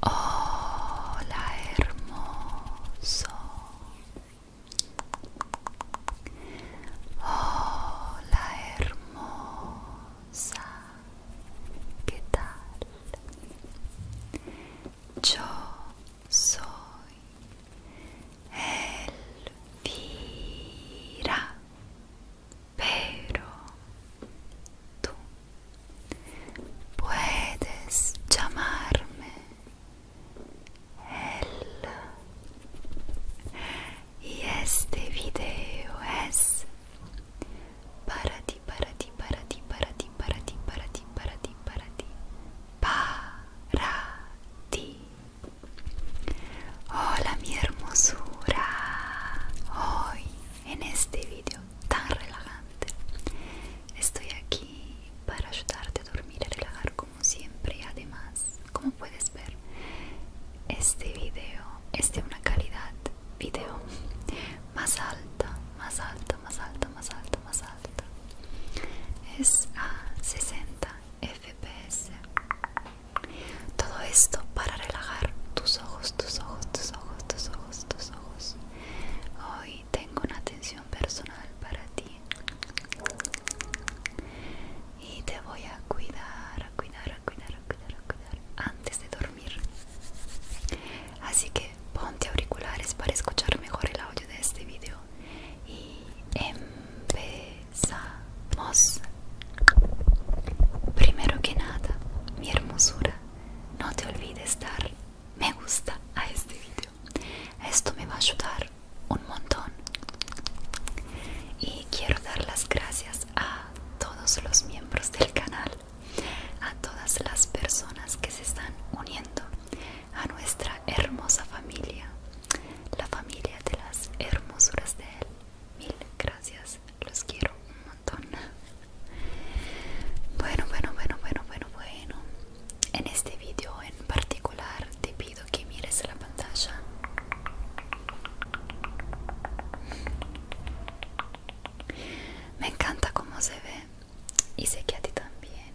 Hola hermoso. Hola hermosa. ¿Qué tal? Yo soy Elvira pero tú puedes llamarme El y este video es para ti para ti para ti para ti para ti para ti para ti para ti para ti Hola mi hermosura. Hoy en este video tan relajante estoy aquí para ayudarte a dormir y relajar como siempre. Además, como puedes ver, este video es de una calidad video más alta, más alta, más alta, más alta, más alta. Es a 60 fps todo esto para relajar tus ojos tus ojos tus ojos tus ojos tus ojos hoy tengo una atención personal para ti y te voy a cuidar cuidar cuidar cuidar cuidar antes de dormir así que ponte auriculares para escuchar mejor el audio de este video y empezamos. Primero que nada, mi hermosura, no te olvides dar me gusta a este vídeo. Esto me va a ayudar un montón. Y quiero dar las gracias a todos los miembros del canal, a todas las personas que se están uniendo a nuestra hermosa familia la familia de las hermosuras de él. Mil gracias, los quiero un montón. Bueno, bueno, bueno, bueno, bueno, bueno. En este vídeo en particular te pido que mires la pantalla. Me encanta cómo se ve y sé que a ti también.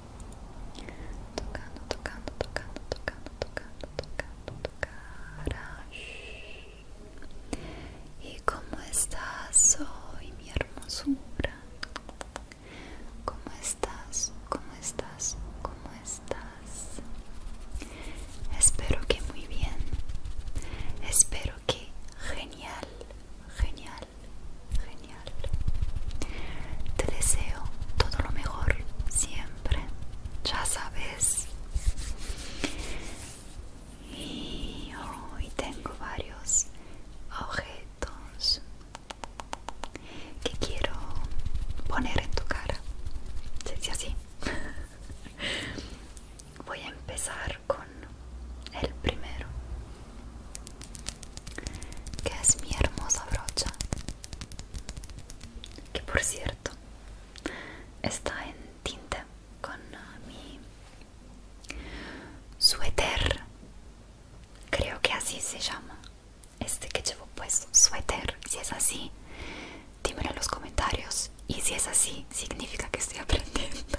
Tocando, tocando, tocando, tocando, tocando, tocando, ¿Y cómo estás hoy, mi hermosura? ¿Cómo estás? ¿Cómo estás? ¿Cómo estás? Espero que muy bien. Espero que genial, genial genial, Te deseo todo lo mejor siempre, ya sabes. Y hoy tengo varios objetos que quiero poner en tu cara. Se así. Voy a empezar con el primero que es mi hermosa brocha que por cierto está en tinta con ah, mi suéter creo que así se llama este que llevo puesto suéter si es así dímelo en los comentarios y si es así significa que estoy aprendiendo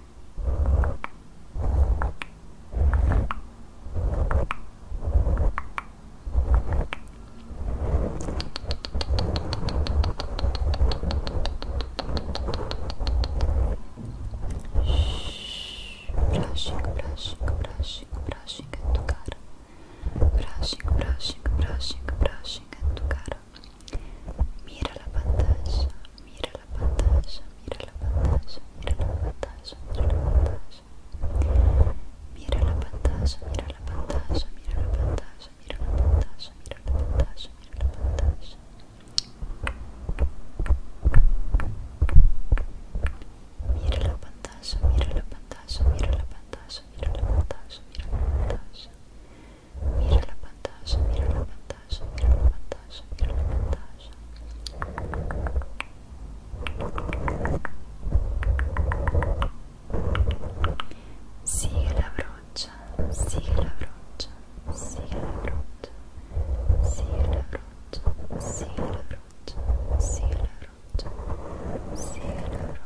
Brushing, brushing, brushing, brushing é do cara. Brushing, brushing, brushing, brushing é do cara. Mira la pantalla, mira la pantalla, mira la pantalla, mira la pantalla, mira la pantalla. Mira la pantalla, mira la pantalla, mira la pantalla, mira la pantalla, mira la pantalla, mira la pantalla. Mira la pantalla, mira la mira la mira la mira la Mira la pantalla, mira la pantalla, mira la pantalla, mira la pantalla. Sigue la brocha, sigue la brocha, sigue la brocha, sigue la brocha, sigue la brocha, sigue la brocha, sigue la brocha.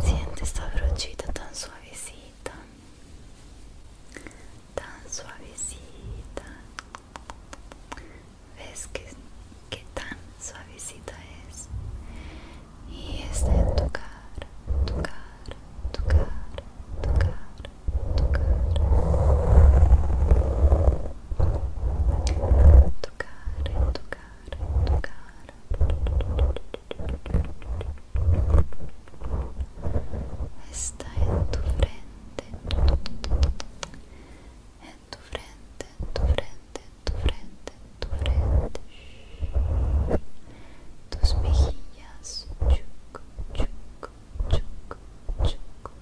Siente esta brochita tan suavecita, tan suavecita. ¿Ves que, tan suavecita es? Y está en tocar, tocar, tocar, tocar tu tu cara. toccare, toccare, Está en tu frente,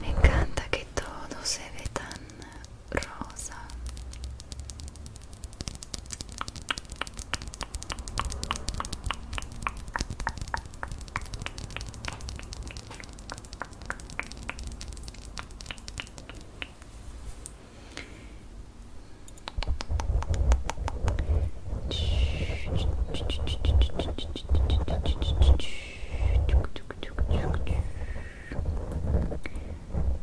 Me encanta que todo se ve tan rosa.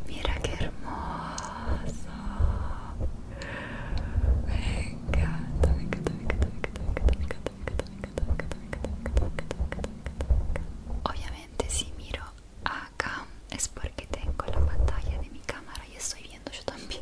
Mira qué hermoso. Venga, Obviamente si miro acá es porque tengo la pantalla de mi cámara y estoy viendo yo también.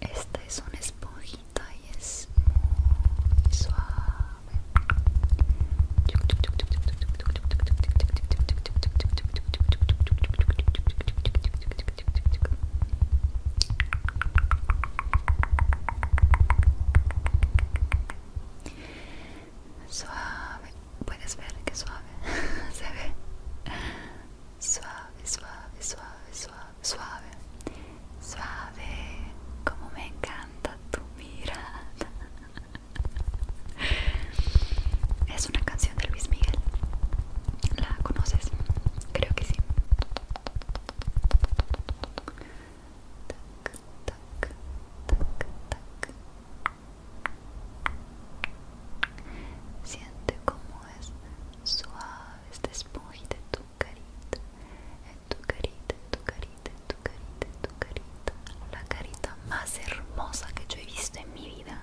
Esta es una esponjita y es muy suave. Suave, puedes ver que suave se ve. Suave, suave, suave, suave, suave. Suave, como me encanta tu mirada. Es una canción de Luis Miguel. ¿La conoces? Creo que sí. Tac, tac, tac, Siente cómo es suave este esponja de tu carita, Es tu carita, tu carita, tu carita, tu carita, la carita más hermosa que yo he visto en mi vida.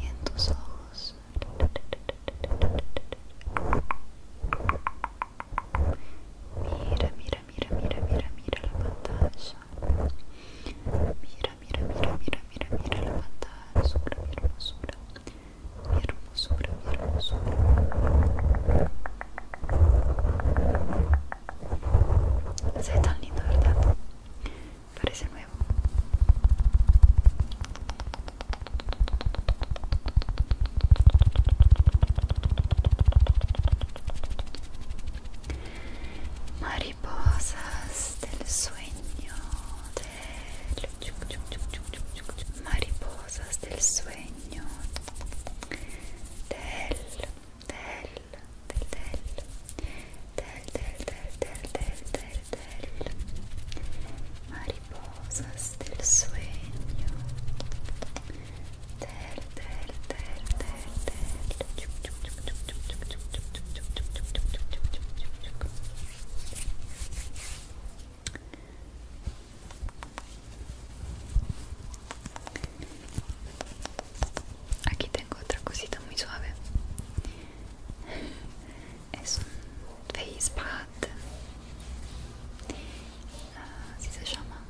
y ojos mira mira mira mira mira mira la pantalla mira mira mira mira mira mira la pantalla Mira hermosura mira, hermosura hermosura se ve tan lindo verdad parece nuevo mariposas del sueño del mariposas del sueño del تل تل تل تل تل tel tel tel mariposas del sueño tell tell tell tell tell Aquí tengo otra cosita muy suave. Es un face pad. Así se llama.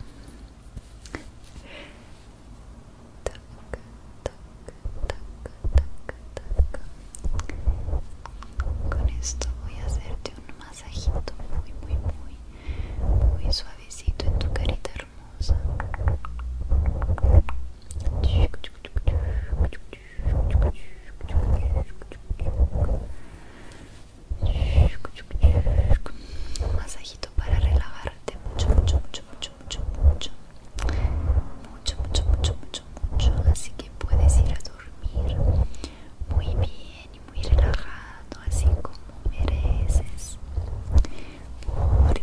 Con esto voy a hacerte un masajito muy, muy, muy, muy suavecito en tu carita hermosa. Masajito para relajarte mucho, mucho, mucho, mucho, mucho, mucho, mucho, mucho, mucho, mucho, mucho. Así que puedes ir a dormir muy bien y muy relajado, así como mereces, porque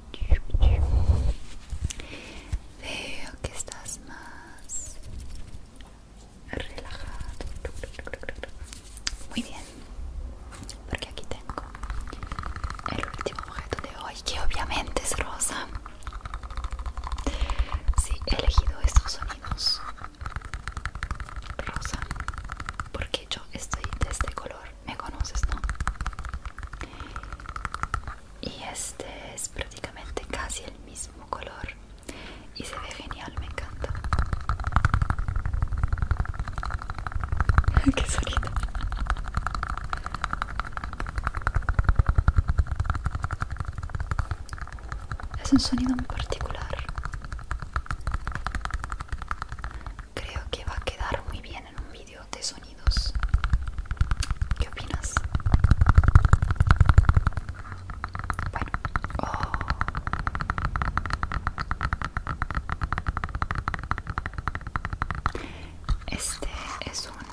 Veo que estás más relajado. Muy bien, porque aquí tengo el último objeto de hoy, que obviamente es rosa. Sí, he elegido estos sonidos rosa, porque yo estoy de este color me conoces, ¿no? Y este es prácticamente casi el mismo color y se ve genial, me encanta. Qué sonido. Es un sonido muy particular. Creo que va a quedar muy bien en un vídeo de sonidos. ¿Qué opinas? Bueno, oh. este es un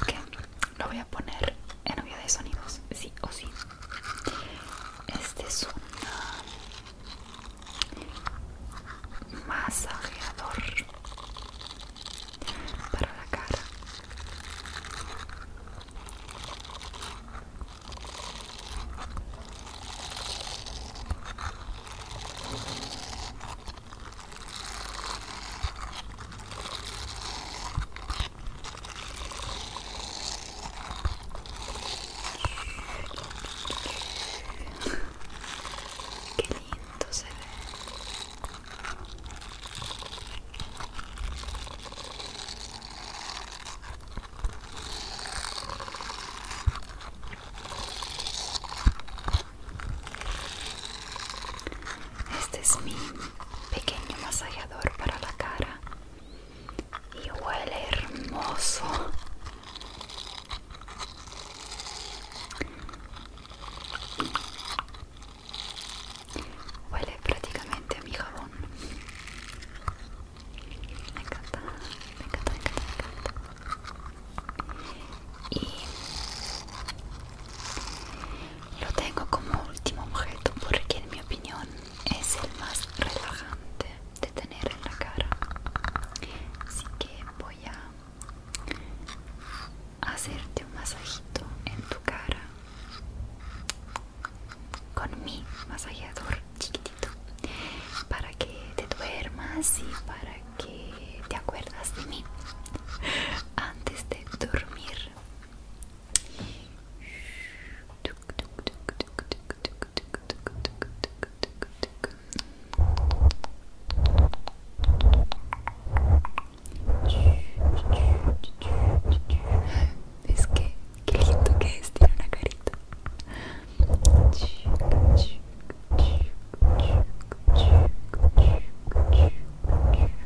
okay lo voy a poner en video de sonidos, sí o sí. Este es un ah, masajeador para la cara. Qué lindo se ve. Este es mi pequeño masajeador para la cara y huele hermoso. Huele prácticamente a mi jabón. Me encanta, me encanta, lo tengo como último objeto porque en mi opinión es el más relajante de tener en la cara. Así que voy a hacerte un masajito en tu cara con mi masajeador chiquitito para que te duermas y para que te acuerdas de mí antes de dormir Es que qué lindo que es, tiene una carita.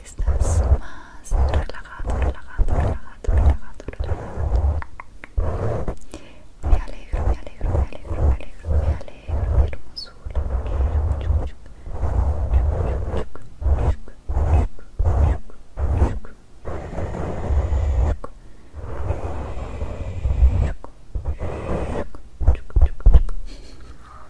estás más relajado, relajado, relajado, relajado, Me alegro, me alegro, me alegro, me alegro, me alegro, hermosura.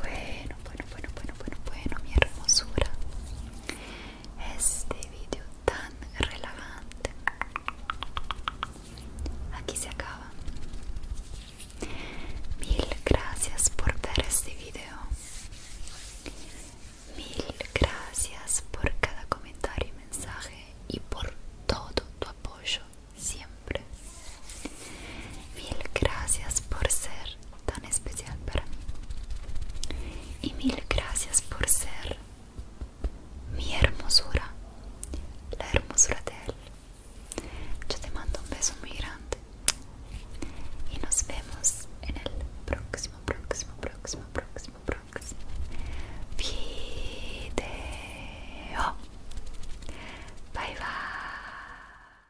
Bueno, bueno, bueno, bueno, bueno, bueno, mi hermosura. Este vídeo tan relevante. aquí se acaba. Mil gracias por ver este video. Mil gracias por cada comentario y mensaje y por todo tu apoyo siempre. Mil gracias por ser tan especial para mí. Y mil gracias por ser mi hermosura, la hermosura de él. Yo te mando un beso muy grande y nos vemos en el próximo, próximo, próximo, próximo, próximo Bye bye.